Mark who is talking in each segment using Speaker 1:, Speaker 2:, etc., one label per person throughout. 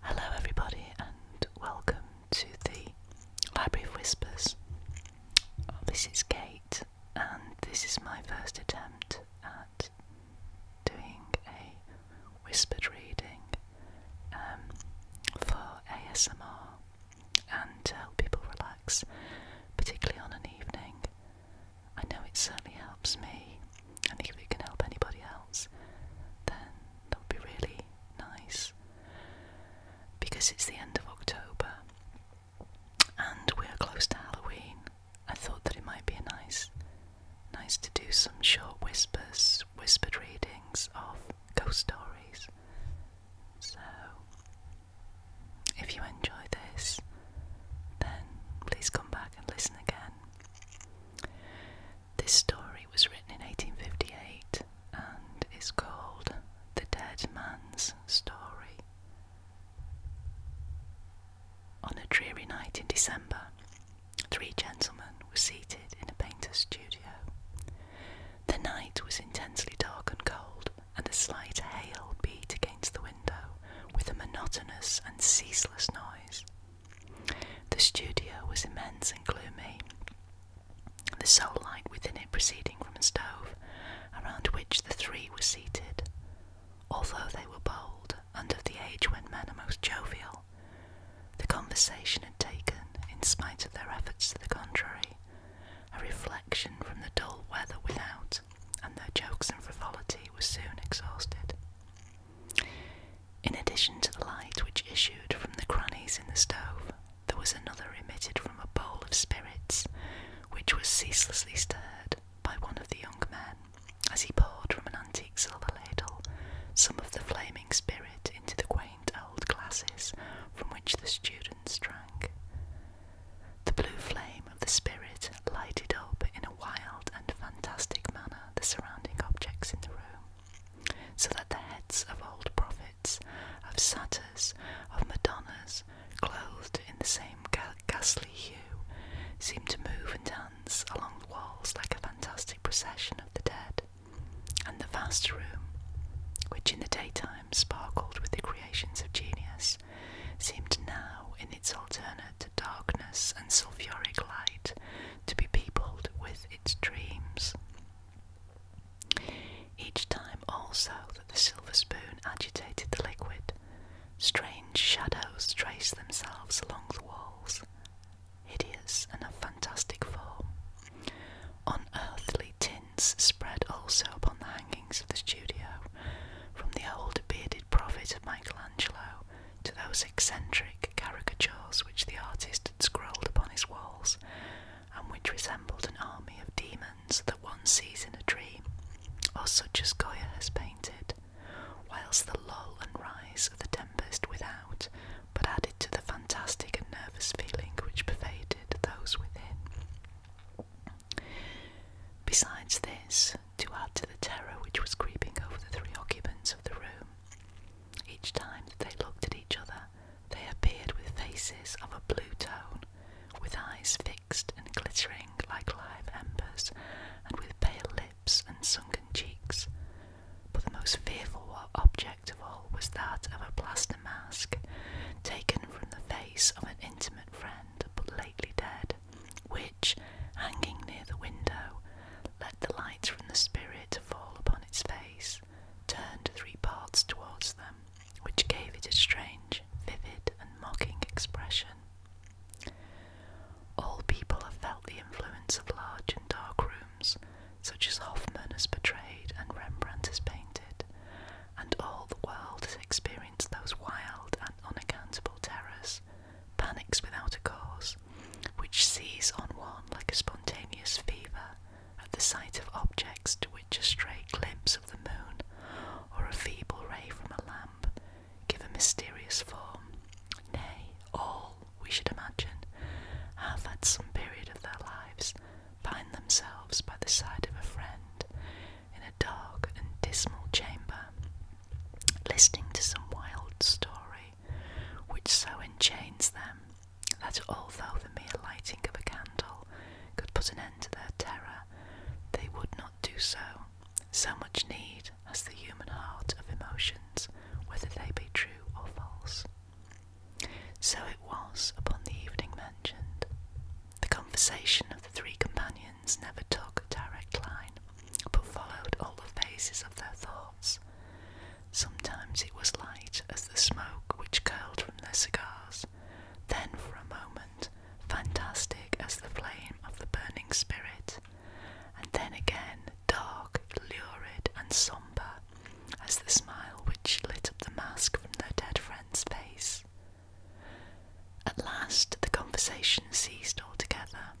Speaker 1: Hello, everybody, and welcome to the Library of Whispers. Oh, this is Kate, and this is my first attempt at doing a whispered reading um, for ASMR and to help people relax, particularly on an evening I know it certainly helps me, and if it can help anybody else, then that would be really nice. Because it's the end of October and we're close to Halloween, I thought that it might be nice, nice to do some short whispers, whispered readings of ghost stories. So, if you enjoy this, then please come back and listen again. This story was written in 1858 and is called The Dead Man's Story. On a dreary night in December, three gentlemen were seated in a painter's studio. The night was intensely dark and cold, and a slight hail beat against the window with a monotonous and ceaseless noise. The studio was immense and gloomy, the sole light within it proceeding from a stove around which the three were seated. Although they were bold and of the age when men are most jovial, the conversation had taken, in spite of their efforts to the contrary, a reflection from the dull weather without, and their jokes and frivolity were soon exhausted. In addition to the light which issued from the crannies in the stove, there was another emitted from a bowl of spirits, which was ceaselessly stirred by one of the young men as he poured from an antique silver ladle some of the flaming spirit into the quaint old glasses from which the students drank. The blue flame of the spirit lighted up in a wild and fantastic manner the surrounding objects in the room, so that the heads of old prophets, of satyrs, of madonnas, clothed in the same ghastly hue, seemed to move and dance along the walls like a fantastic procession of the dead. And the vast room, which in the daytime sparkled with the creations of genius, seemed now in its alternate darkness and sulphuric light to be peopled with its dreams. Each time also that the silver spoon agitated the liquid, strange shadows traced themselves along the walls, hideous and of fantastic form. Unearthly tints spread also upon the hangings of the studio, from the old bearded prophet of Michelangelo to those eccentric caricatures which the artist had scrawled upon his walls, and which resembled an army of demons that one sees in a dream, or such as Goya has painted, whilst the lull and rise of the tempest without but added to the fantastic and nervous feeling which pervaded those within. Besides this, to add to the terror which was creeping over the three occupants of the room. Each time that they looked at each other, they appeared with faces of a blue tone, with eyes fixed and glittering like live embers, and with pale lips and sunken cheeks. But the most fearful object of all was that of a plaster mask, taken from the face of an intimate friend but lately dead, which, hanging near the window, let the light from the spirit fall upon its face, turned three parts towards them, which gave it a strange, vivid, and mocking expression. All people have felt the influence of large and dark rooms, such as Hoffman has portrayed and Rembrandt has painted, and all the world has experienced those wild and unaccountable terrors panics without a cause, which seize on one like a spontaneous fever at the sight of objects to which a stray glimpse of the moon or a feeble ray from a lamp give a mysterious form. Nay, all, we should imagine, have at some period of their lives find themselves by the side of a friend in a dark and dismal chamber listening to some wild story which so enchains them that although the mere lighting of a candle could put an end to their terror, they would not do so. So much need has the human heart of emotions, whether they be true or false. So it was upon the evening mentioned. The conversation of the three companions never took a direct line, but followed all the phases of their thoughts. Sometimes it was light as the smoke which curled from their cigars, then for a moment fantastic as the flame of the burning spirit, and then again dark, lurid, and sombre as the smile which lit up the mask from their dead friend's face. At last the conversation ceased altogether,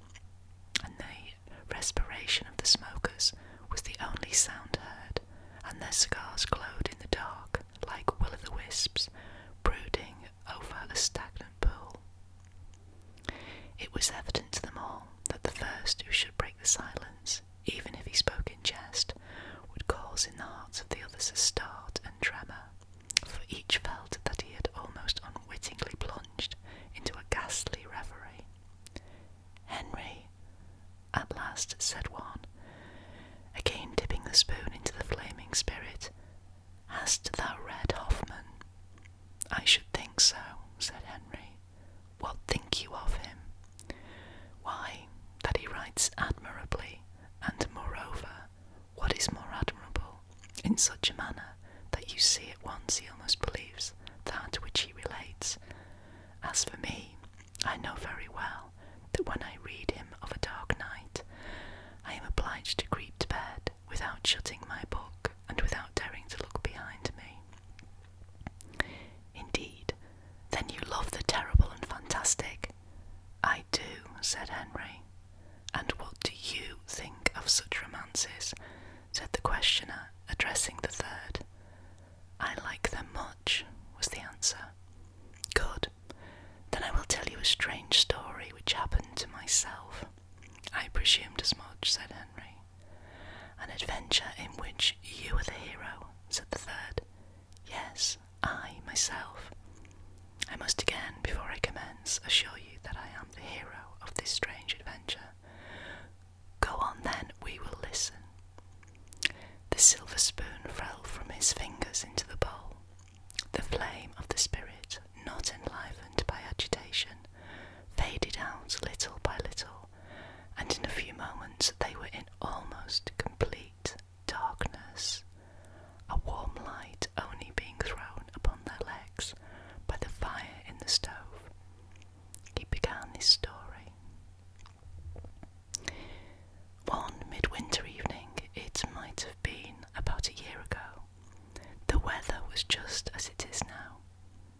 Speaker 1: and they respiration of the smokers was the only sound heard, and their cigars glowed in the dark like will o' the wisps brooding over a stagnant pool. It was evident to them all that the first who should break the silence, even if he spoke in jest, would cause in the hearts of the others a start and tremor, for each felt that he had almost unwittingly blundered into a ghastly reverie. Henry, at last, said one, again dipping the spoon into the flaming spirit. Hast thou read Hoffman? I should think so, said Henry. What think you of him? Why, that he writes admirably, and moreover, what is more admirable in such a manner that you see at once he almost believes that which he relates. As for me, I know very well that when I read him of a dark night, I am obliged to creep to bed without shutting my book and without daring to look behind me. Indeed, then you love the terrible and fantastic. I do, said Henry. And what do you think of such romances? said the questioner, addressing the third. I like them much, was the answer. Good. Then I will tell you a strange story which happened to myself. I presumed as much, said Henry. An adventure in which you were the hero, said the third. Yes, I myself. I must again, before I commence, assure you that I am." the hero of this strange adventure. Go on then, we will listen. The silver spoon fell from his fingers into the bowl. The flame of the spirit, not enlivened by agitation, faded out little by little, and in a few moments they were in almost complete darkness, a warm light only being thrown upon their legs by the fire in the stove. He began his story. One midwinter evening, it might have been about a year ago, the weather was just as it is now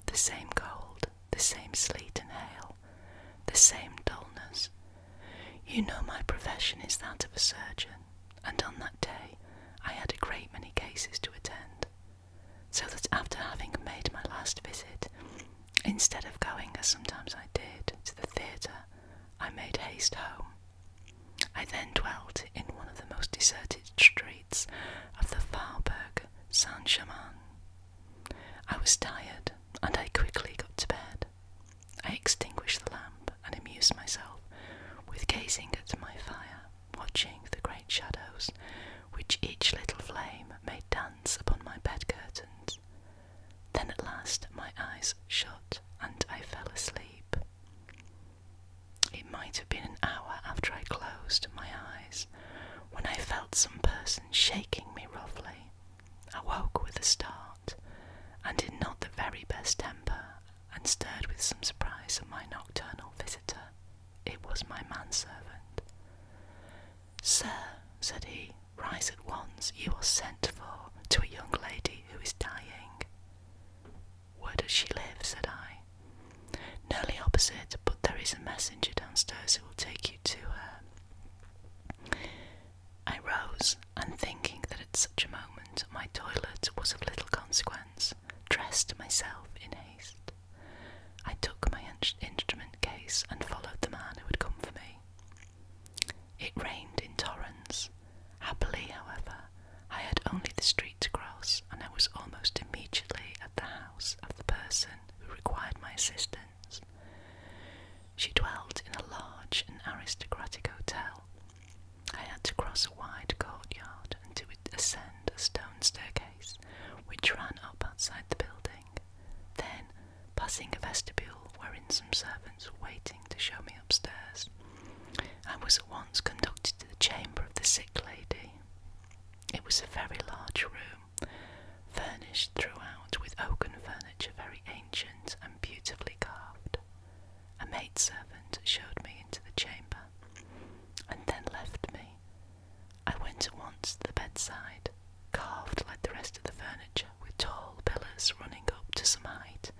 Speaker 1: the same cold, the same sleet and hail, the same dullness. You know, my profession is that of a surgeon, and on that day I had a great many cases to attend so that after having made my last visit, instead of going as sometimes I did to the theatre, I made haste home. I then dwelt in one of the most deserted streets of the Faubourg Saint Germain. I was tired, and I quickly got to bed. I extinguished the lamp and amused myself with gazing at my fire watching the great shadows which each little flame made dance upon my bed curtains. Then at last my eyes shut and I fell asleep. It might have been an hour after I closed my eyes when I felt some person shaking me roughly. I woke with a start and in not the very best temper and stared with some surprise at my nocturnal visitor. It was my manservant. Sir, said he, rise at once. You are sent for to a young lady who is dying. Where does she live? said I. Nearly opposite, but there is a messenger downstairs who will take you to her. I rose, and thinking that at such a moment my toilet was of little consequence, dressed myself in haste. I took my instrument case and followed the man who had come for me. It rained in torrents. Happily, however, I had only the street to cross, and I was almost immediately at the house of the person who required my assistance. She dwelt in a large and aristocratic hotel I had to cross a wide courtyard and to ascend a stone staircase which ran up outside the building. Then, passing a vestibule wherein some servants were waiting to show me upstairs, I was at once conducted to the chamber of the sick lady. It was a very large room, furnished throughout with oaken furniture very ancient and beautifully carved. A maidservant showed me into the chamber, and then left me. I went at once to the bedside, carved like the rest of the furniture, with tall pillars running up to some height,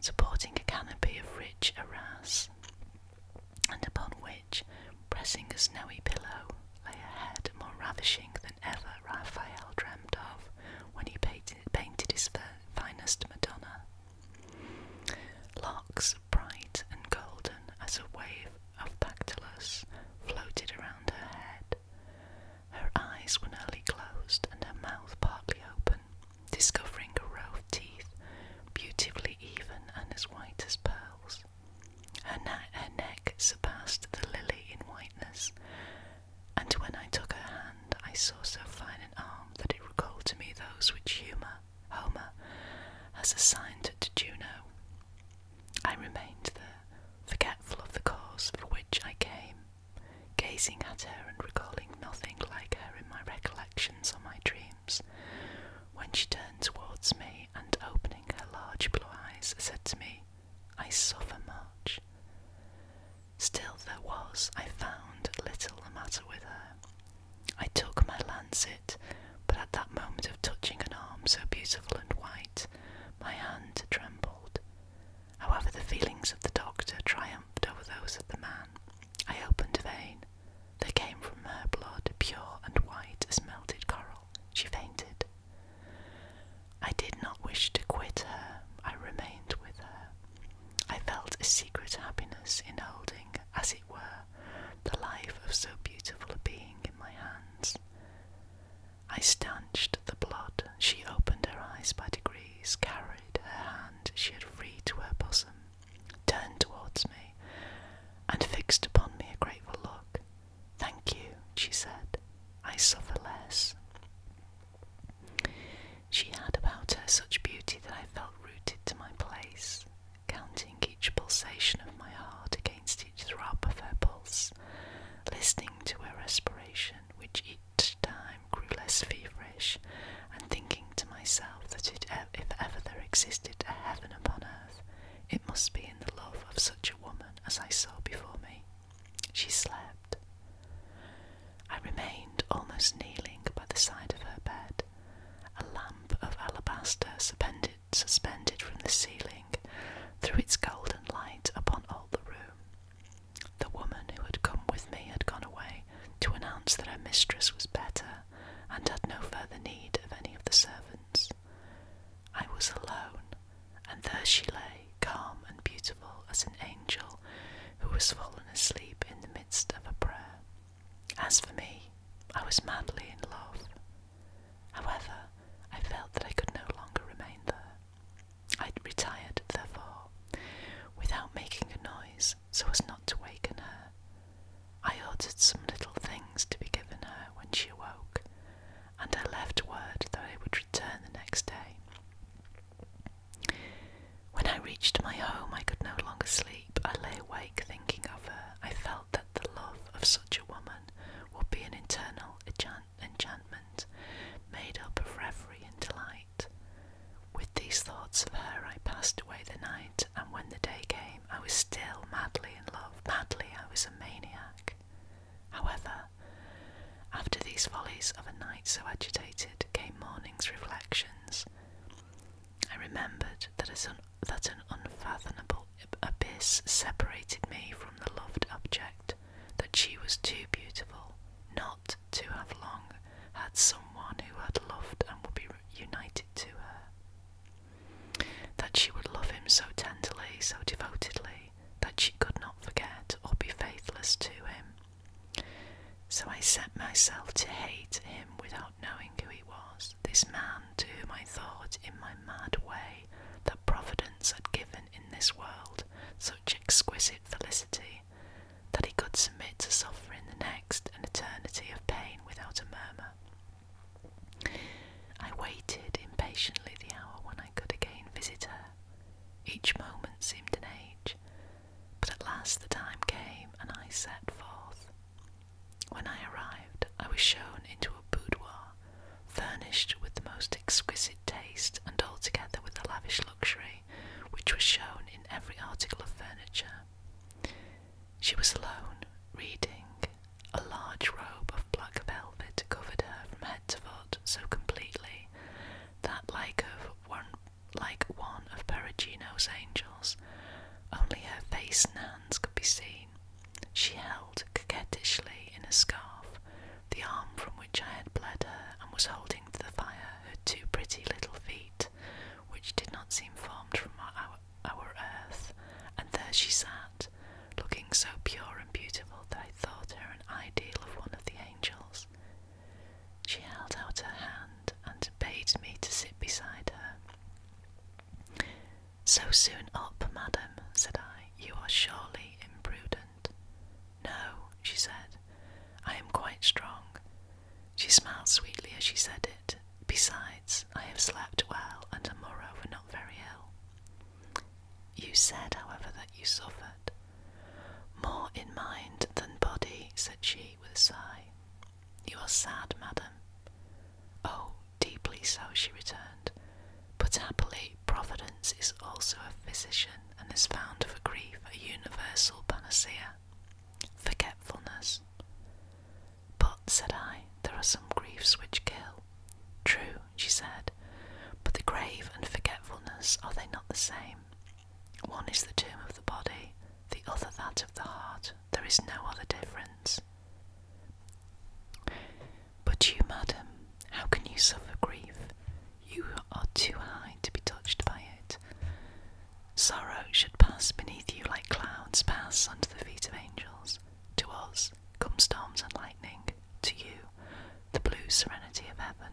Speaker 1: supporting a canopy of rich arras, and upon which, pressing a snowy pillow, lay a head more ravishing than ever Raphael dreamed of when he painted, painted his finest Madonna Larks, bright and golden as a wave of Pactolus, floated around her head. Her eyes were nearly closed and her mouth partly open, discovering a row of teeth, beautifully even and as white as pearls. Her, neck surpassed the lily in whiteness, and when I took her hand, I saw so fine an arm that it recalled to me those which Huma Homer has assigned to Juno. I remained there, forgetful of the cause for which I came, gazing at her and recalling nothing like her in my recollections or my dreams, when she turned towards me and opening her large blue eyes said to me, I suffer much. Still, there was, I found, little the matter with her, I took my lancet, but at that moment of touching an arm so beautiful and white, my hand trembled. However, the feelings of the doctor triumphed over those of the man. I opened a vein. There came from her blood, pure and white as melted coral. She fainted. I did not wish to quit her. I remained with her. I felt a secret happiness in holding, as were, the life of so beautiful a being in my hands. I stanched the blood. She opened her eyes by degrees, carried her hand she had freed to her bosom, turned towards me, and fixed upon me a grateful look. Thank you, she said. I suffer less. She had about her such beauty that I felt rooted to my place, counting each pulsation of my heart against each throb of her pulse, listening to her respiration, which each time grew less feverish, and thinking to myself that if ever there existed a heaven upon earth, it must be in the love of such a woman as I saw before me. She slept. I remained almost kneeling by the side of her bed, a lamp of alabaster suspended, suspended from the ceiling threw its golden light upon all the room. The woman who had come with me had gone away to announce that her mistress was better and had no further need of any of the servants. I was alone, and there she lay, calm and beautiful as an angel who has fallen asleep in the midst of a prayer. As for me, I was madly in love. However, I felt that I could no longer remain there. I retired, therefore, without making a noise so as not to waken her. I ordered some little things to be given her when she awoke, and I left word that I would return the next day. When I reached my home, I could no longer sleep. I lay awake thinking of her. I felt that the love of such a woman would be an internal enchantment made up of reverie and delight. With these thoughts of her, I passed away the night, and when the day came, I was still madly in love. Madly, I was a maniac. However, after these follies of a night so agitated, came morning's reflections. I remembered that, an unfathomable abyss separated me from the loved object, that she was too beautiful not to have long had someone who had loved and would be united to her. That she would love him so tenderly, so devotedly, that she could not forget or be faithless to him. So I set myself to hate him without knowing who he was, this man to whom I thought in my mad way that Providence had given in this world such exquisite felicity that he could submit to suffering the next an eternity of pain without a murmur. I waited impatiently the hour when I could again visit her. Each moment seemed an age, but at last the time came, and I set forth. When I arrived, I was shown into a boudoir, furnished with the most exquisite taste and altogether with a lavish luxury which was shown in every article of furniture. She was alone, reading. A large robe of black velvet covered her from head to foot so completely that, like of one like one of Perugino's angels. Only her face and hands could be seen. She held coquettishly in a scarf the arm from which I had bled her, and was holding to the fire her two pretty little feet, which did not seem formed from our, our earth. And there she sat, looking so pure and beautiful that I thought her an ideal of one of the angels. She held out her hand and bade me to sit beside her. So soon up, madam, said I, you are surely imprudent. No, she said, I am quite strong. She smiled sweetly as she said it. Besides, I have slept well and am moreover not very ill. You said, however, that you suffered. More in mind than body, said she with a sigh. You are sad, madam. Oh, deeply so, she returned. But happily, Providence is also a physician and has found for grief a universal panacea forgetfulness. But, said I, there are some griefs which kill. True, she said, but the grave and forgetfulness are they not the same? One is the tomb of the body, the other that of the heart. There is no other difference. But you, madam, how can you suffer grief? You are too high to be touched by it. Sorrow should pass beneath you like clouds pass under the feet of angels. To us come storms and lightning, to you, the blue serenity of heaven.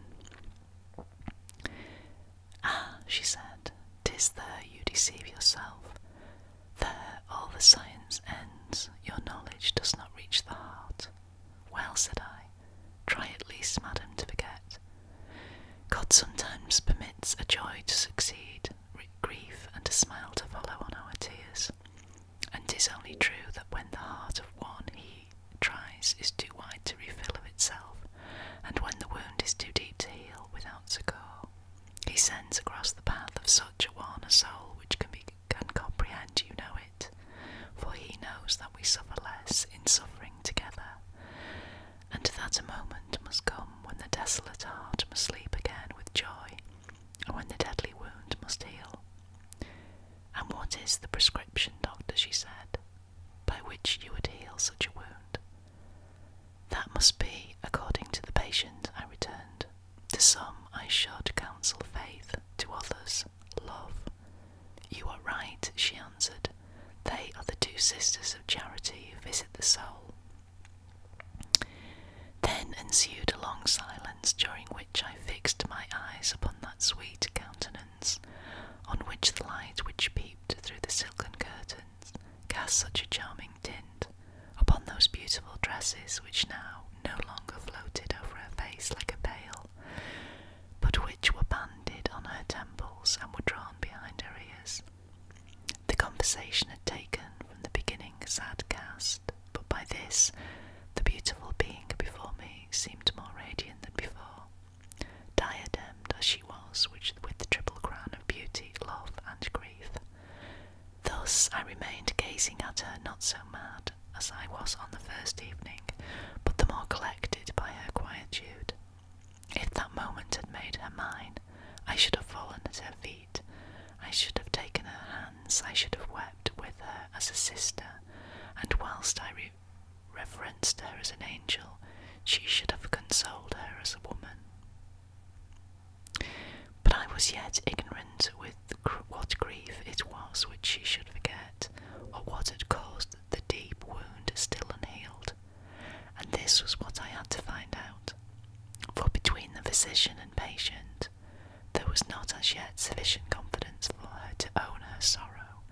Speaker 1: Ah, she said, tis there you deceive yourself. There all the science ends, your knowledge does not reach the heart. Well, said I, try at least, madam, to forget. God sometimes permits a joy to succeed, grief and a smile to follow on our tears. And 'tis only true that when the heart of one he tries is too wide to refill of itself, and when the wound is too deep to heal without succour, he sends across the path of such a one a soul which can, be, comprehended. you know it, for he knows that we suffer less in suffering together, and that a moment must come when the desolate heart must sleep again with joy, and when the deadly wound must heal. And what is the prescription, doctor, she said, by which you would heal such a wound? That must be according to the patient, I returned. To some I should counsel faith, to others, love. You are right, she answered. They are the two sisters of charity who visit the soul. Then ensued a long silence, during which I fixed my eyes upon that sweet countenance, on which the light which peeped through the silken curtains cast such a charming tint upon those beautiful dresses which now no longer floated over her face like a veil, but which were banded on her temples and were drawn behind her ears. The conversation had taken from the beginning a sad cast, but by this the beautiful being before me seemed more radiant than before diademed as she was with the triple crown of beauty, love, and grief. Thus I remained gazing at her, not so mad as I was on the first evening, but the more collected by her quietude. If that moment had made her mine, I should have fallen at her feet, I should have taken her hands, I should have wept with her as a sister, and whilst I reverenced her as an angel, she should have consoled her as a woman. But I was yet ignorant with what grief it was which she should forget, or what had caused the deep wound still unhealed. And this was what I had to find out. For between the physician and patient, there was not as yet sufficient confidence for her to own her sorrow,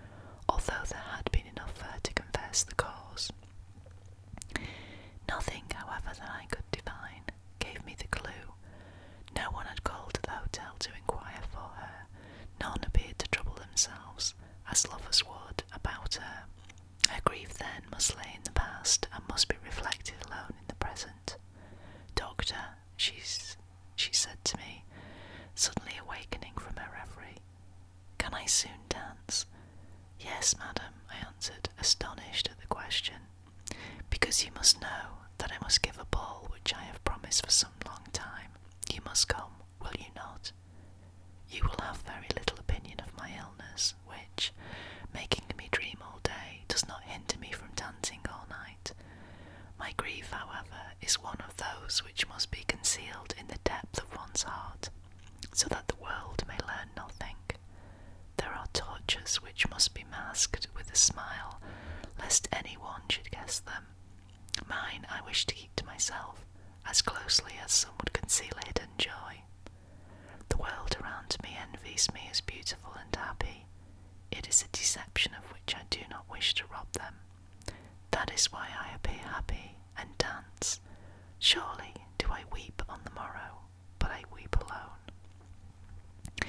Speaker 1: although there had been enough for her to confess the cause. Nothing, however, that I could divine gave me the clue. No one had called to the hotel to inquire for her, none appeared to trouble themselves, as lovers would, about her. Her grief then must lay in the past and must be reflected alone in the present. Doctor, she's, she said to me, suddenly awakening from her reverie, can I soon dance? Yes, madam, I answered, astonished at the question, because you must know that I must give a ball which I have promised for some long time. You must come, will you not? You will have very little opinion of my illness, which, making me dream all day, does not hinder me from dancing all night. My grief, however, is one of those which must be concealed in the depth of one's heart so that the world may learn nothing. There are tortures which must be masked with a smile, lest any one should guess them. Mine I wish to keep to myself, as closely as some would conceal hidden joy. The world around me envies me as beautiful and happy. It is a deception of which I do not wish to rob them. That is why I appear happy and dance. Surely do I weep on the morrow, but I weep alone.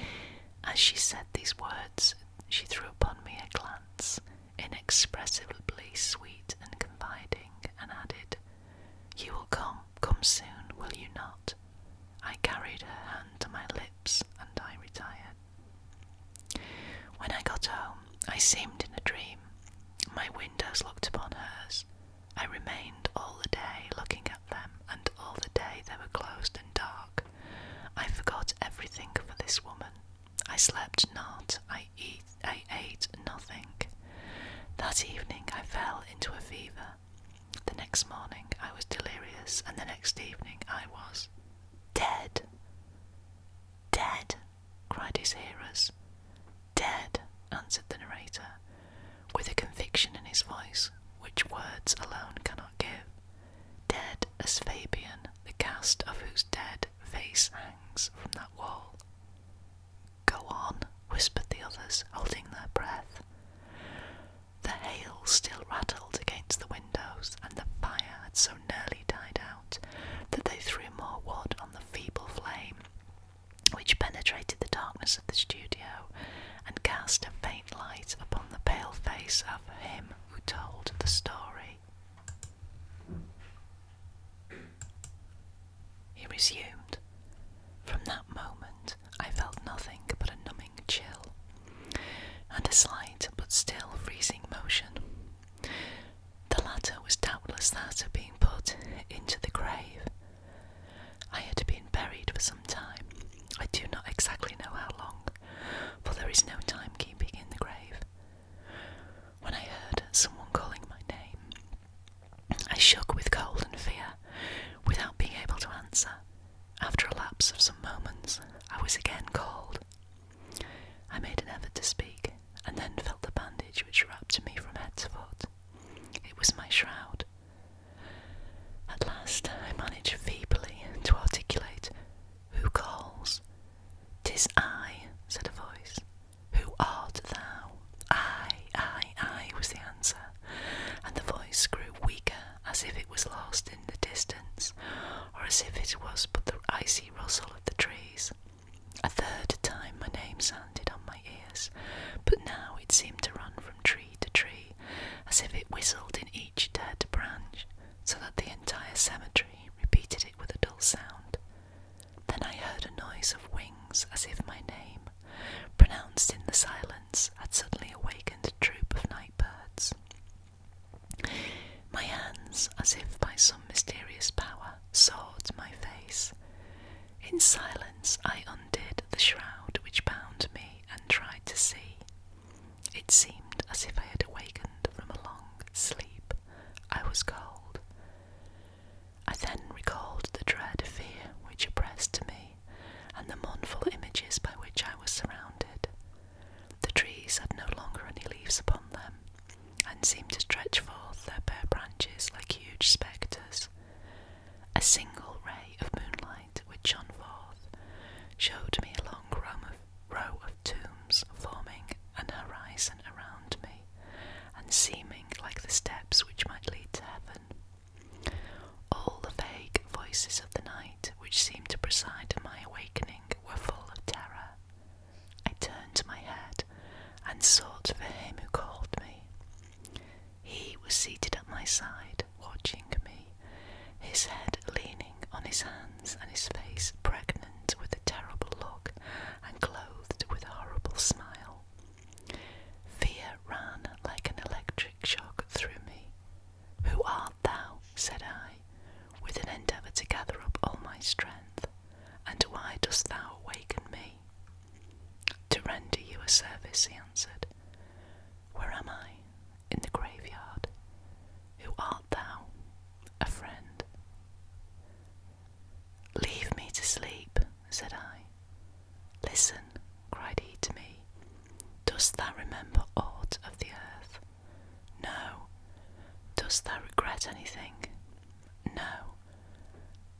Speaker 1: As she said these words, she threw upon me a glance, inexpressibly sweet and confiding, and added, You will come, come soon, will you not? I carried her hand to my lips, and I retired. When I got home, I seemed in a dream. My windows looked upon hers. I remained all the day looking at them, and all the day they were closed and dark. I forgot everything for this woman. I slept not, I, eat, I ate nothing. That evening I fell into a fever. The next morning I was delirious, and the next evening I was dead. Dead cried his hearers. Dead, answered the narrator, with a conviction in his voice which words alone cannot give. Dead as Fabian, the cast of whose dead face hangs from that wall. Go on, whispered the others, holding their breath. The hail still rattled against the windows, and the fire had so nearly died out that they threw more wood on the feeble flame which penetrated the darkness of the studio and cast a faint light upon the pale face of him who told the story. He resumed. From that moment, I felt nothing but a numbing chill and a slight but still freezing motion. The latter was doubtless that of being put into the grave. I had been buried for some time. I do not exactly know how long, for there is no time keeping in the grave. When I heard someone calling my name, I shook with cold and fear, without being able to answer. After a lapse of some moments, I was again called. I made an effort to speak, and then felt the bandage which wrapped me from head to foot. It was my shroud. At last I managed feebly to articulate, Who calls? Tis I, said a voice. Who art thou? I, I, I was the answer, and the voice grew weaker as if it was lost in the distance, or as if it was but the icy rustle of the trees. A third time my name sounded on my ears, but now it seemed to run from tree to tree, as if it whistled in each dead branch, so that the entire cemetery repeated it with a dull sound. Then I heard a noise of wings, as if my name, pronounced in the silence, had suddenly awakened a troop of night birds. My hands, as if by some mysterious power, soured my face. In silence, I undid the shroud which bound me and tried to see. It seemed as if I had awakened from a long sleep. I was cold. I then recalled the dread fear which oppressed me, and the mournful images by which I was surrounded. The trees had no longer any leaves upon them, and seemed to stretch forth their bare branches like huge spectres. A single ray of moonlight which shone forth showed me a long row of tombs forming an horizon around me and seeming like the steps which might lead to heaven. All the vague voices of the night which seemed to preside at my awakening were full of terror I turned my head and sought for him who called me. He was seated at my side, watching me, his head leaning on his hands and his face pregnant with a terrible look and clothed with a horrible smile. Fear ran like an electric shock through me. Who art thou? said I, with an endeavour to gather up all my strength. And why dost thou awaken me? To render you a service, he answered. Where am I? In the graveyard. Who art thou? A friend. Leave me to sleep, said I. Listen, cried he to me. Dost thou remember aught of the earth? No. Dost thou regret anything? No.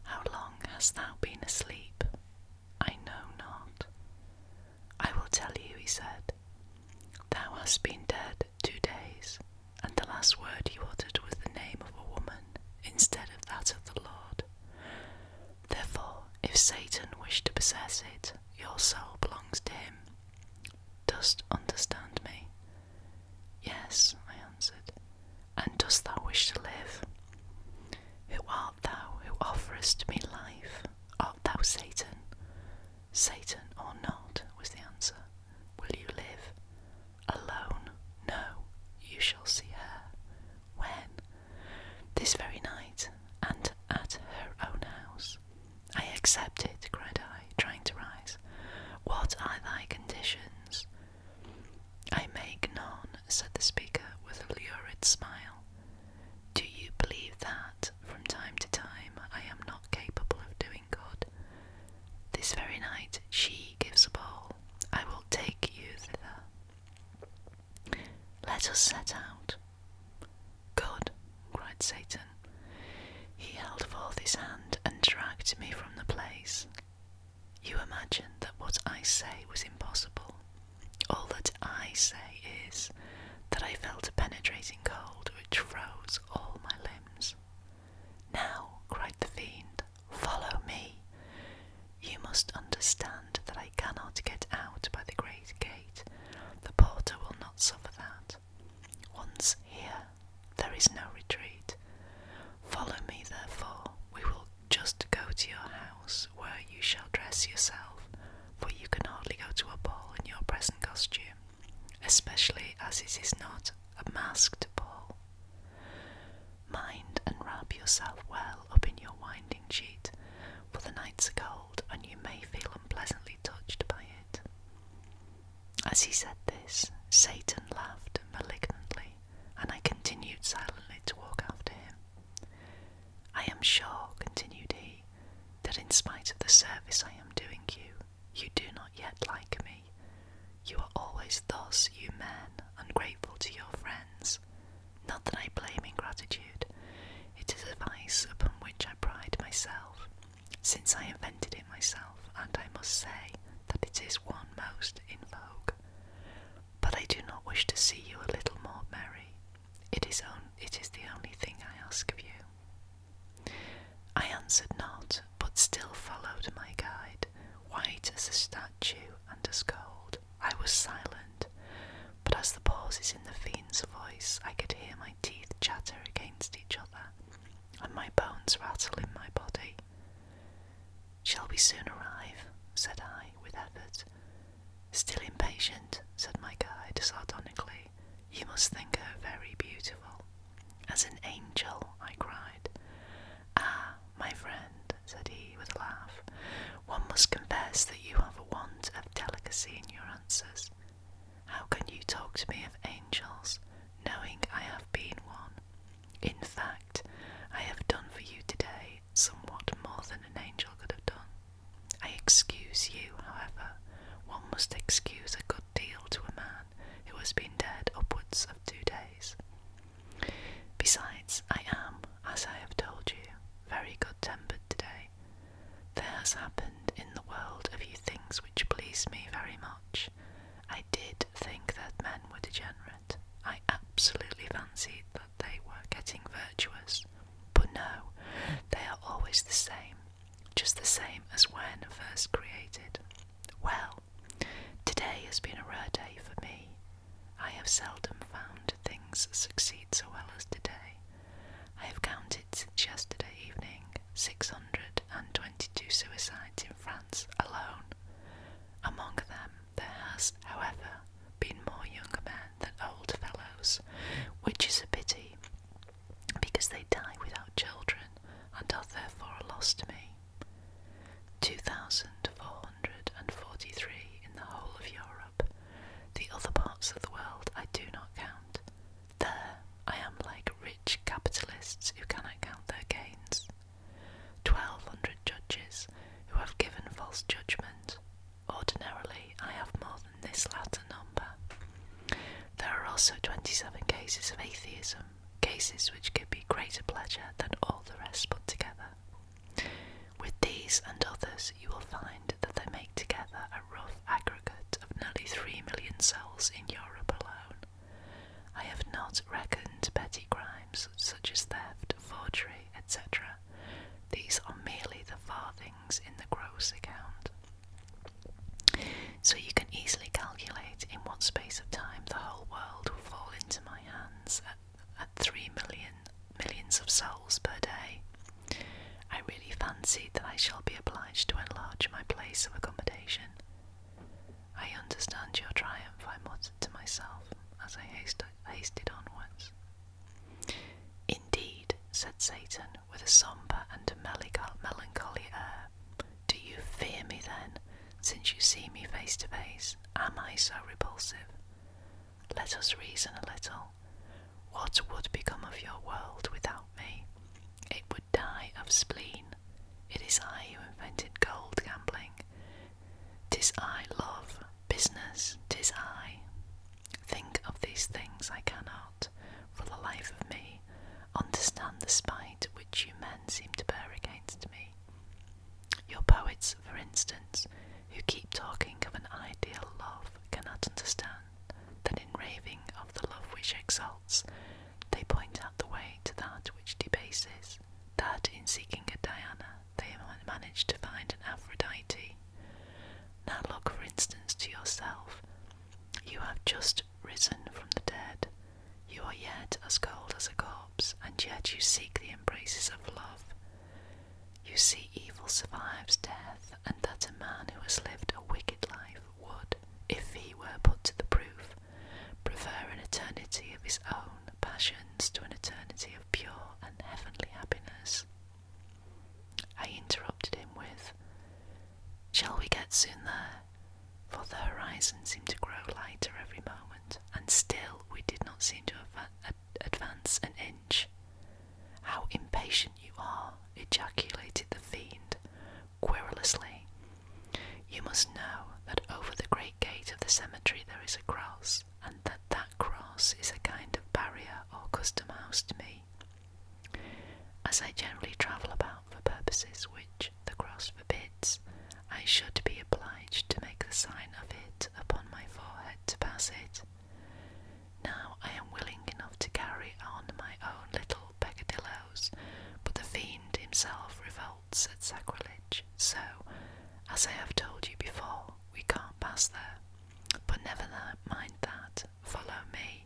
Speaker 1: How long hast thou been asleep? I know not. I will tell you, he said. Thou hast been dead two days, and the last word you uttered was the name of a woman instead of that of the Lord. Therefore, if Satan wished to possess it, your soul belongs to him. Dost understand me? Yes, I answered. And dost thou wish to live? Who art thou who offerest me life? Art thou Satan? Satan or not, was the answer. Will you live? Alone? No, you shall see her. When? This very night, and at her own house. I accept it, cried I, trying to rise. What are thy conditions? I make none, said the speaker with a lurid smile. Do you believe that, from time to time, I am not capable of doing good? This very night she gives a ball. I will take you thither. Let us set out. Good, cried Satan. He held forth his hand and dragged me from the place. You imagined that what I say was impossible. All that I say is that I felt a penetrating cold which froze all my limbs. Now, cried the fiend, follow me. You must understand that I cannot get out by the great gate. The porter will not suffer that. Once here, there is no retreat. Follow me, therefore, we will just go to your house, where you shall dress yourself, for you can hardly go to a ball in your present costume, especially as it is not a masked ball. Mind and wrap yourself well up in your winding sheet, for the nights are cold and you may feel unpleasantly touched by it. As he said this, Satan laughed malignantly, and I continued silently to walk after him. I am sure, continued he, that in spite of the service I am doing you, you do not yet like me. You are always thus, you men, ungrateful to your friends. Not that I blame ingratitude, it is a vice upon which I pride myself, since I invented it myself and I must say that it is one most in vogue. But I do not wish to see you a little more merry. It is, on, it is the only thing I ask of you. I answered not, but still followed my guide, white as a statue and as cold. I was silent, but as the pauses in the fiend's voice, I could hear my teeth chatter against each other, and my bones rattle in my body. Shall we soon arrive? said I, with effort. Still impatient, said my guide sardonically. You must think her very beautiful. As an angel, I cried. Ah, my friend, said he with a laugh, one must confess that you have a want of delicacy in your answers. How can you talk to me of angels, knowing I have been one? In fact, I have done for you today somewhat more than an angel could have done. I excuse you, however. One must excuse a good deal to a man who has been dead upwards of two days. Besides, I am, as I have told you, very good tempered today. There has happened in the world a few things which please me very much, I did think that men were degenerate. I absolutely fancied that they were getting virtuous. But no, they are always the same, just the same as when first created. Well, today has been a rare day for me. I have seldom found things succeed so well as today. I have counted since yesterday evening 622 suicides in France alone. Among them there has, however, been more younger men than old fellows, which is a pity, because they die without children and are therefore a loss to me. 2,443 in the whole of Europe. The other parts of the world I do not count. There I am like rich capitalists who cannot count their gains. 1200 judges who have given false judgment. Ordinarily, I have more than this latter number. There are also 27 cases of atheism, cases which give me greater pleasure than all the rest put together. With these and others, you will find that they make together a rough aggregate of nearly 3 million cells in Europe alone. I have not reckoned petty crimes such as theft, forgery, etc. These are merely the farthings in the gross account. So you can easily calculate in what space of time the whole world will fall into my hands at, three million millions of souls per day. I really fancied that I shall be obliged to enlarge my place of accommodation. I understand your triumph, I muttered to myself as I hastened onwards. Indeed, said Satan, with a sombre and melancholy air, do you fear me then, since you see me face to face? Am I so repulsive? Let us reason a little. What would become of your world without me? It would die of spleen it is I who invented gold gambling. Tis I love, business, tis I. Think of these things I cannot, for the life of me, understand the spite which you men seem to bear against me. Your poets, for instance, who keep talking of an ideal love, cannot understand that in raving of the love which exalts they point out the way to that which debases, that in seeking a Diana they manage to find an Aphrodite. Now look, for instance, to yourself. You have just risen from the dead. You are yet as cold as a corpse, and yet you seek the embraces of love. You see, evil survives death, and that a man who has lived a wicked life would, if he were put to the proof, prefer an eternity of his own passions to an eternity of pure and heavenly happiness. I interrupted him with, Shall we get soon there? For the horizon seemed to grow lighter every moment, and still we did not seem to advance an inch. How impatient you are! ejaculated the fiend, querulously. You must know that over the great gate of the cemetery there is a cross, and that that cross is a kind of barrier or custom house to me, as I generally travel about for purposes which the cross forbids. I should be obliged to make the sign of it upon my forehead to pass it. Now I am willing enough to carry on my own little peccadilloes, but the fiend himself revolts. Said sacrilege, so, as I have told you before, we can't pass there. But never mind that, follow me.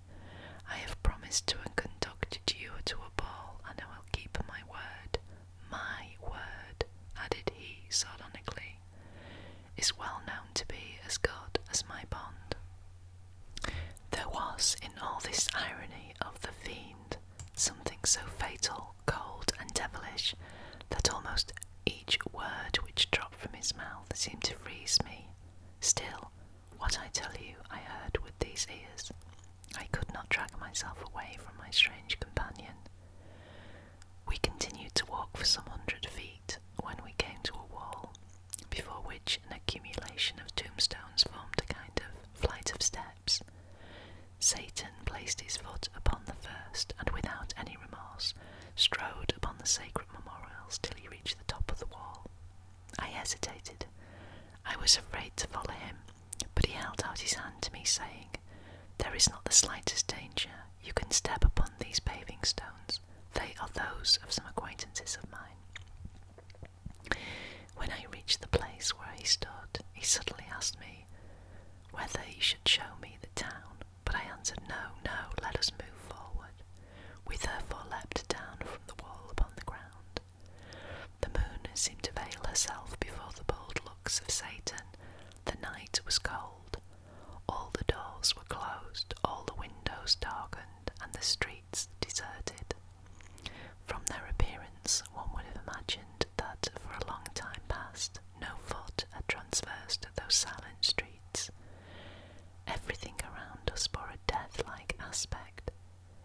Speaker 1: I have promised to conduct you to a ball, and I will keep my word. My word, added he sardonically, is well known to be as good as my bond. There was in all this irony of the fiend something so fatal, cold, and devilish that almost each word which dropped from his mouth seemed to freeze me. Still, what I tell you, I heard with these ears. I could not drag myself away from my strange companion. We continued to walk for some hundred feet when we came to a wall, before which an accumulation of tombstones formed a kind of flight of steps. Satan placed his foot upon the first, and without any remorse, strode upon the sacred memorials till he reached the top of the wall. I hesitated. I was afraid to follow him, but he held out his hand to me, saying, There is not the slightest danger. You can step upon these paving stones. They are those of some acquaintances of mine. When I reached the place where he stood, he suddenly asked me whether he should show me the town, but I answered, No, no, let us move forward. We therefore leapt down from the wall upon the ground. The moon seemed to veil herself before the bold looks of Satan. The night was cold. All the doors were closed, all the windows darkened, and the street deserted. From their appearance, one would have imagined that for a long time past no foot had traversed those silent streets. Everything around us bore a deathlike aspect.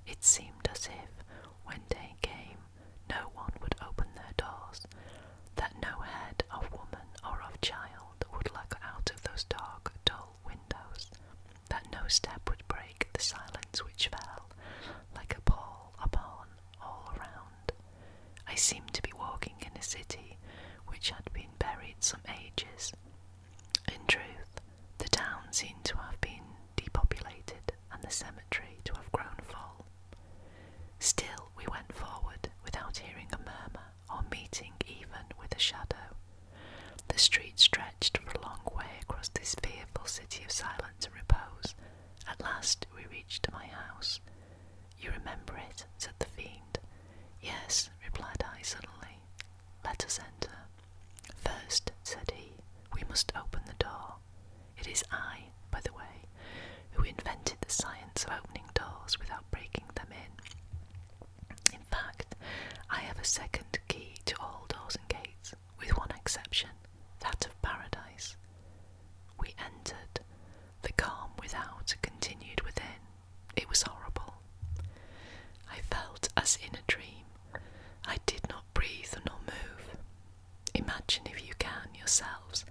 Speaker 1: It seemed as if, when day came, no one would open their doors, that no head of woman or of child would look out of those dark, dull windows that no step would break the silence which fell like a pall upon all around. I seemed to be walking in a city which had been buried some ages. In truth, the town seemed to have been depopulated and the cemetery to have grown full. Still, we went forward without hearing a murmur or meeting even with a shadow. The street stretched for a long way across this fearful city of silence to repose. At last we reached my house. You remember it, said the fiend. Yes, replied I suddenly. Let us enter. First, said he, we must open the door. It is I, by the way, who invented the science of opening doors without breaking them in. In fact, I have a second key to all doors and gates, with one exception, that of paradise. We entered. The calm without continued within. It was horrible. I felt as in a dream. I did not breathe nor move. Imagine, if you can, yourselves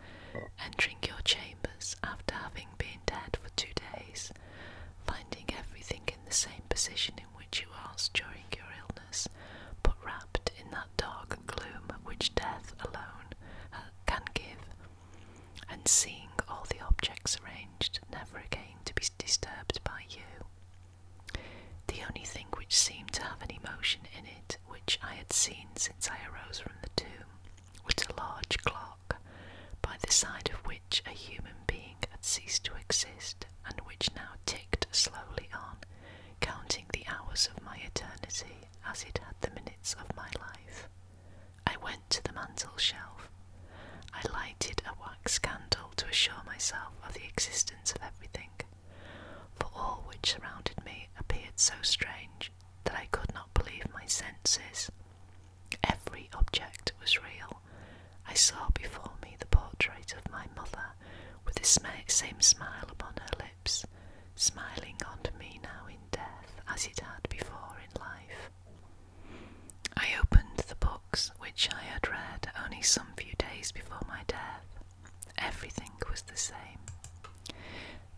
Speaker 1: entering your chambers after having been dead for two days, finding everything in the same position which you asked during your illness, but wrapped in that dark gloom which death alone uh, can give, and seeing all the objects arranged, never again to be disturbed by you. The only thing which seemed to have an emotion in it, which I had seen since I arose from the tomb, was a large clock, by the side of which a human being had ceased to exist, and which now ticked slowly on, counting the hours of my eternity as it had the minutes of my life. I went to the mantel shelf. I lighted a wax candle to assure myself of the existence of everything, for all which surrounded me appeared so strange that I could not believe my senses. Every object was real, I saw before me the portrait of my mother with the same smile upon her lips, smiling on me now in death as it had before in life. I opened the books which I had read only some few days before my death. Everything was the same.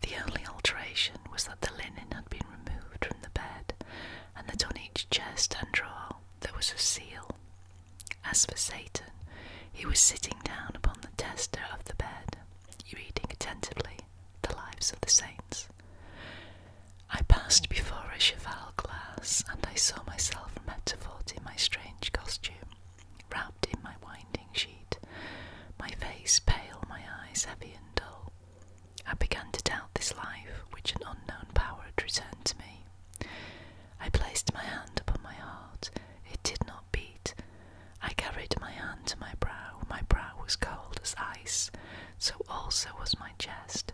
Speaker 1: The only alteration was that the linen had been removed from the bed, and that on each chest and drawer there was a seal, as for Satan, he was sitting down upon the tester of the bed, reading attentively the lives of the saints. I passed before a cheval glass, and I saw myself metaphoured in my strange costume, wrapped in my winding sheet, my face pale, my eyes heavy and dull. I began to doubt this life which an unknown power had returned to me, I placed my hand upon my heart. It did not beat. I carried my hand to my brow. My brow was cold as ice, so also was my chest.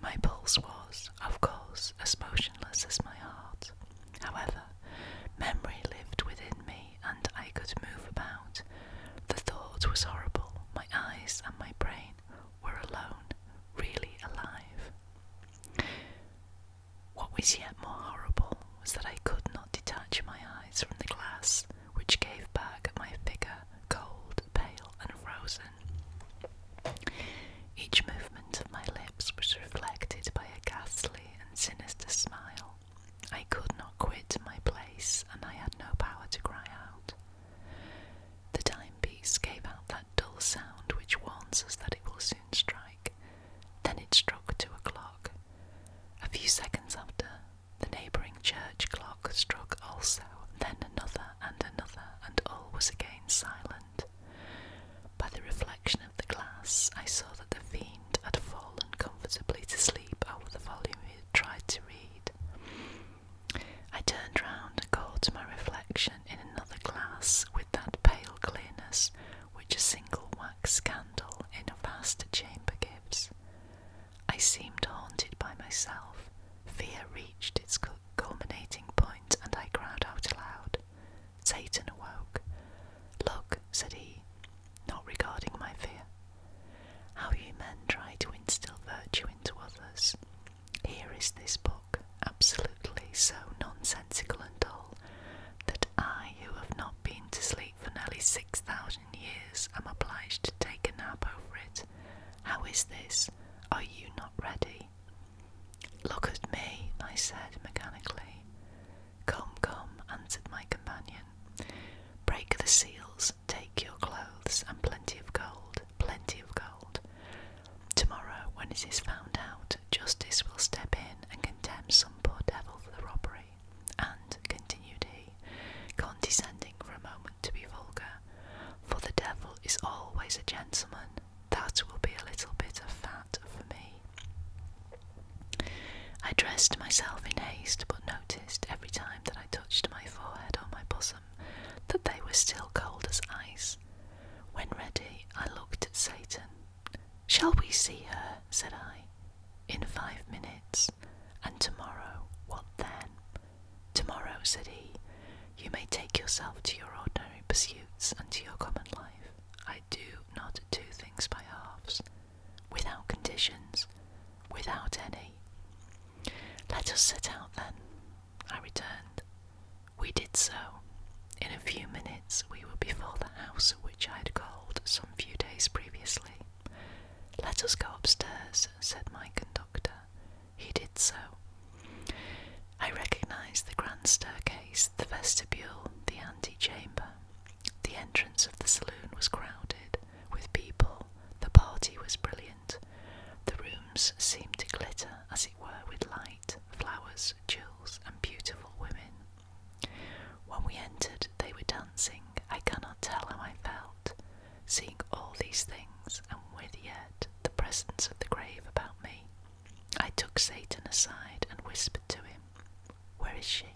Speaker 1: My pulse was, of course, as motionless as my heart. However, memory lived within me and I could move about. The thought was horrible. My eyes and my brain were alone, really alive. What was yet more horrible was that I could not detach my eyes from the glass, which gave back my figure cold, pale, and frozen. Each movement of my lips was reflected by a ghastly and sinister smile. I could not quit my place, and I had no power to cry out. The timepiece gave out that dull sound which warns us that it will soon strike. Then it struck two o'clock. A few seconds after, the neighbouring church clock struck also, then another and another, and all was again silent. By the reflection of the glass, I saw that the fiend had fallen comfortably to sleep over the volume he had tried to read. I turned round and called to my reflection, in another glass, with that pale clearness which a single wax candle in a vast chamber gives. I seemed haunted by myself. Fear reached its culminating point, and I cried out aloud. Satan awoke. Look, said he, not regarding my fear, how you men try to instill virtue into others. Here is this book, absolutely so nonsensical and dull, that I, who have not been to sleep for nearly 6,000 years, am obliged to take a nap over it. How is this? Are you not ready? Look at me, I said mechanically. Come, come, answered my companion. Break the seals, take your clothes, and plenty of gold, plenty of gold. Tomorrow, when it is found out, justice will step in and condemn some poor devil for the robbery. And, continued he, condescending for a moment to be vulgar, for the devil is always a gentleman, that will be a little bit of fat for me. I dressed myself in haste, but noticed every time that I touched my forehead or my bosom that they were still cold as ice. When ready, I looked at Satan. Shall we see her? said I. In five minutes. And tomorrow, what then? Tomorrow, said he, you may take yourself to your ordinary pursuits and to your common life. I do not do things by halves, without conditions, without any. Let us set out then, I returned. We did so. In a few minutes we were before the house which I had called some few days previously. Let us go upstairs, said my conductor. He did so. I recognized the grand staircase, the vestibule, the antechamber. The entrance of the saloon was crowded with people. The party was brilliant. The rooms seemed to glitter, as it were, with light, flowers, jewels, and beautiful women. When we entered, they were dancing. I cannot tell how I felt, seeing all these things, and with yet the presence of the grave about me. I took Satan aside and whispered to him, Where is she?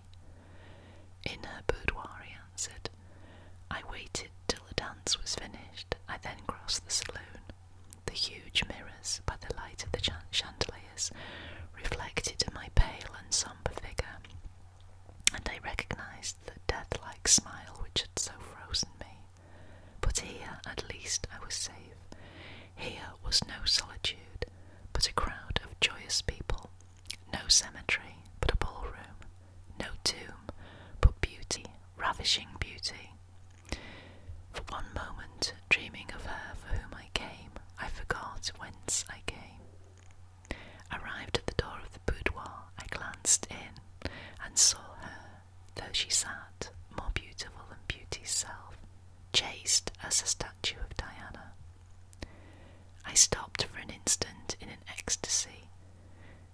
Speaker 1: In her boudoir, he answered. I waited till the dance was finished. I then crossed the saloon the huge mirrors, by the light of the chandeliers, reflected my pale and sombre figure, and I recognised the death-like smile which had so frozen me. But here, at least, I was safe. Here was no solitude, but a crowd of joyous people, no cemetery, but a ballroom, no tomb, but beauty, ravishing beauty. For one moment, dreaming of her for whom I came, I forgot whence I came. Arrived at the door of the boudoir, I glanced in and saw her, though she sat, more beautiful than beauty's self, chaste as a statue of Diana. I stopped for an instant in an ecstasy.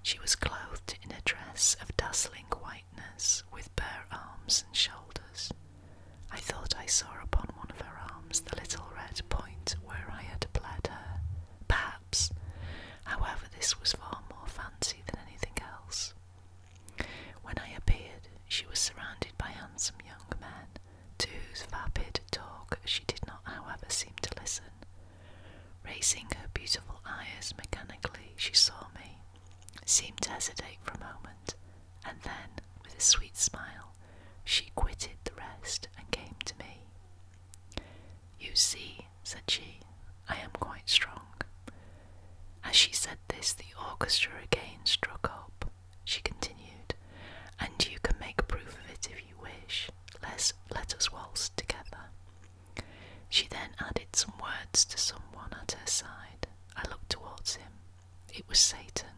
Speaker 1: She was clothed in a dress of dazzling whiteness with bare arms and shoulders. I thought I saw upon one of her arms the little red point where I had bled her, perhaps. However, this was far more fancy than anything else. When I appeared, she was surrounded by handsome young men, to whose vapid talk she did not, however, seem to listen. Raising her beautiful eyes mechanically, she saw me seemed to hesitate for a moment, and then, with a sweet smile, she quitted the rest and came to me. You see, said she, I am quite strong. As she said this, the orchestra again struck up. She continued, and you can make proof of it if you wish. Let's, let us waltz together. She then added some words to someone at her side. I looked towards him. It was Satan.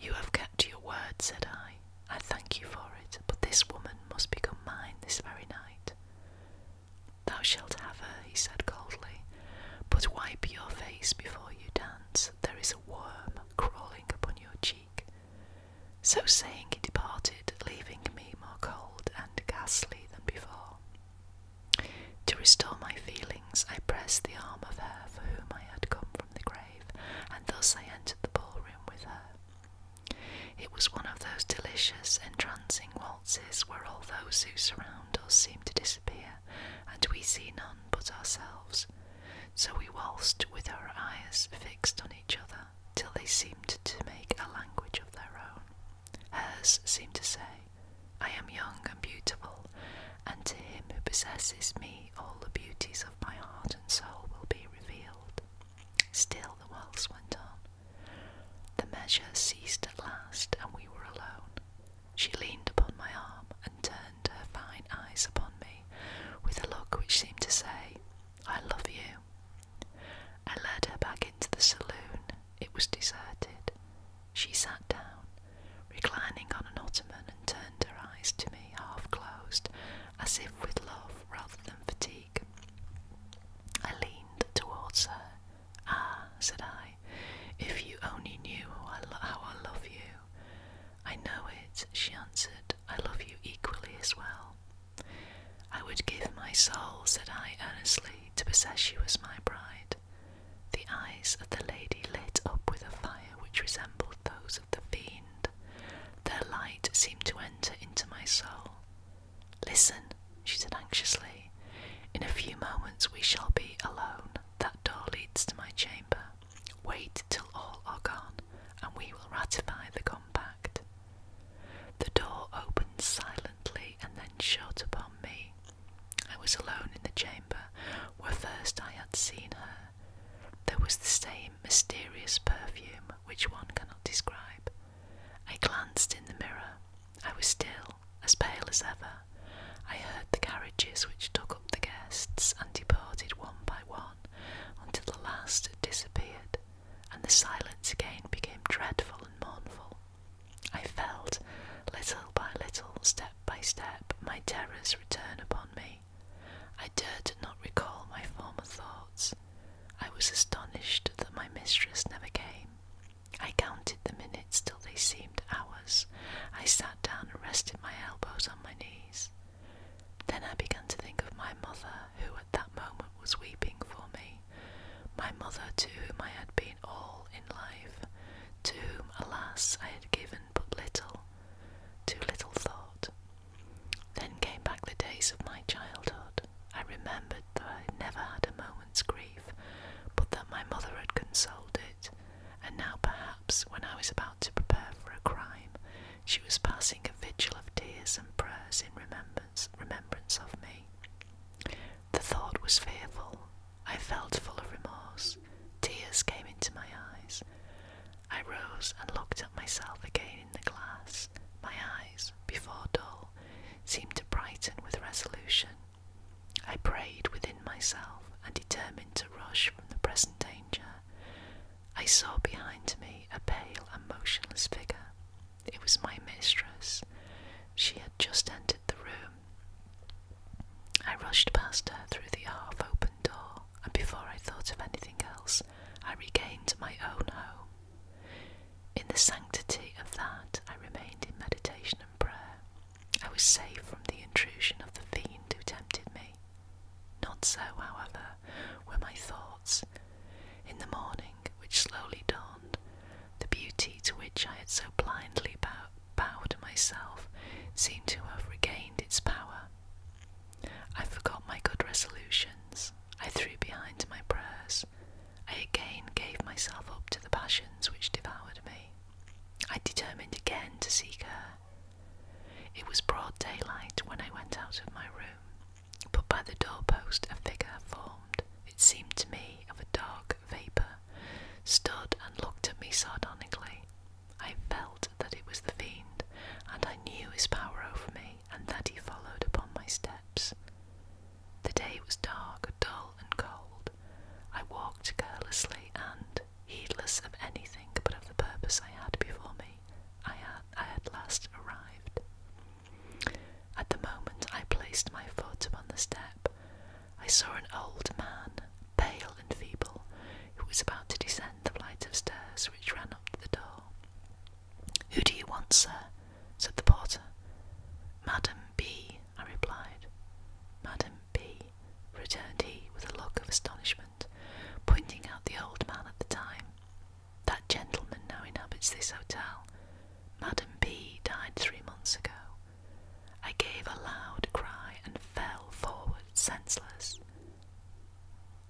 Speaker 1: You have kept your word, said I. I thank you for it, but this woman must become mine this very night. Thou shalt have her, he said coldly, but wipe your face before you dance. There is a worm crawling upon your cheek. So saying, he departed, leaving me more cold and ghastly than before. To restore my feelings, I pressed the arm of her for whom I had come from the grave, and thus I entered the ballroom with her. It was one of those delicious, entrancing waltzes where all those who surround us seem to disappear, and we see none but ourselves. So we waltzed with our eyes fixed on each other till they seemed to make a language of their own. Hers seemed to say, I am young and beautiful, and to him who possesses me all the beauties of my heart and soul will be revealed. Still the waltz went on. The measure ceased at last, and we were alone. She leaned upon my arm and turned her fine eyes upon me with a look which seemed to say, I love you. I led her back into the saloon it was deserted. She sat down, reclining on an ottoman, and turned her eyes to me, half closed, as if with love rather than fatigue. I leaned towards her. Ah, said I, if you only knew how I, love you. I know it, she answered. I love you equally as well. I would give my soul, said I earnestly, to possess you as my bride. The eyes of the lady lit up with a fire which resembled those of the fiend. Their light seemed to enter into my soul. Listen, she said anxiously. In a few moments we shall be alone. That door leads to my chamber. Wait till all are gone, and we will ratify the compact. The door opened silently and then shot upon me. I was alone in the chamber where first I had seen her. There was the same mysterious perfume which one cannot describe. I glanced in the mirror. I was still as pale as ever. I heard the carriages which took up the guests and departed one by one until the last had disappeared, and the silence again became dreadful and mournful. I felt, little by little, step by step, my terrors return upon me. I dared not recall my former thoughts. I was astonished that my mistress never came. I counted the minutes till they seemed hours. I sat down and rested my elbows on my knees. Then I began to think of my mother, who at that moment was weeping for me my mother to whom I had been all in life, to whom, alas, I had given but little, too little thought. Then came back the days of my childhood. I remembered that I had never had a moment's grief, but that my mother had consoled it, and now perhaps, when I was about to prepare for a crime, she was passing a vigil of tears and prayers in remembrance, remembrance of me. The thought was fearful. I felt full of remorse. Tears came into my eyes. I rose and looked at myself again in the glass. My eyes, before dull, seemed to brighten with resolution. I prayed within myself and determined to rush from the present danger. I saw behind me a pale and motionless figure. It was my mistress. She had just entered the room. I rushed past her through the half open door, and before I thought of anything else, I regained my own home. In the sanctity of that, I remained in meditation and prayer. I was safe from the intrusion of the fiend who tempted me. Not so, however, were my thoughts. In the morning, which slowly dawned, the beauty to which I had so blindly bowed myself seemed to have regained its power. I forgot my good resolutions. I threw behind my prayers. I again gave myself up to the passions which devoured me. I determined again to seek her. It was broad daylight when I went out of my room, but by the doorpost a figure formed it seemed to me, of a dark vapour, stood and looked at me sardonically. I felt that it was the fiend, and I knew his power over me, and that he followed upon my steps. The day was dark, dull, and cold. I walked carelessly and, heedless of anything but of the purpose I had before me, I at last arrived. At the moment I placed my foot upon the step, I saw an old man, pale and feeble, who was about to descend the flight of stairs which ran up to the door. Who do you want, sir? said the porter. Madam B, I replied. Madam B, returned he with a look of astonishment, pointing out the old man at the time. That gentleman now inhabits this hotel. Madam B died three months ago. I gave a loud cry and fell forward senseless.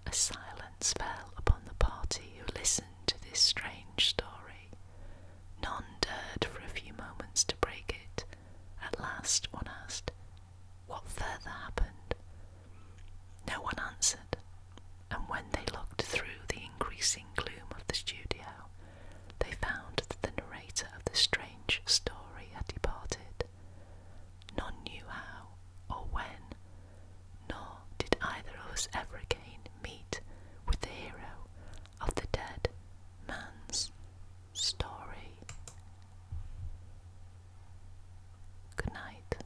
Speaker 1: A silence fell upon the party who listened to this strange story. None dared for a few moments to break it. At last, one asked, What further happened? No one answered, and when they looked through the increasing gloom of the studio, they found that the narrator of the strange story had departed. None knew how or when, nor did either of us ever again meet with the hero of the dead man's story. Good night.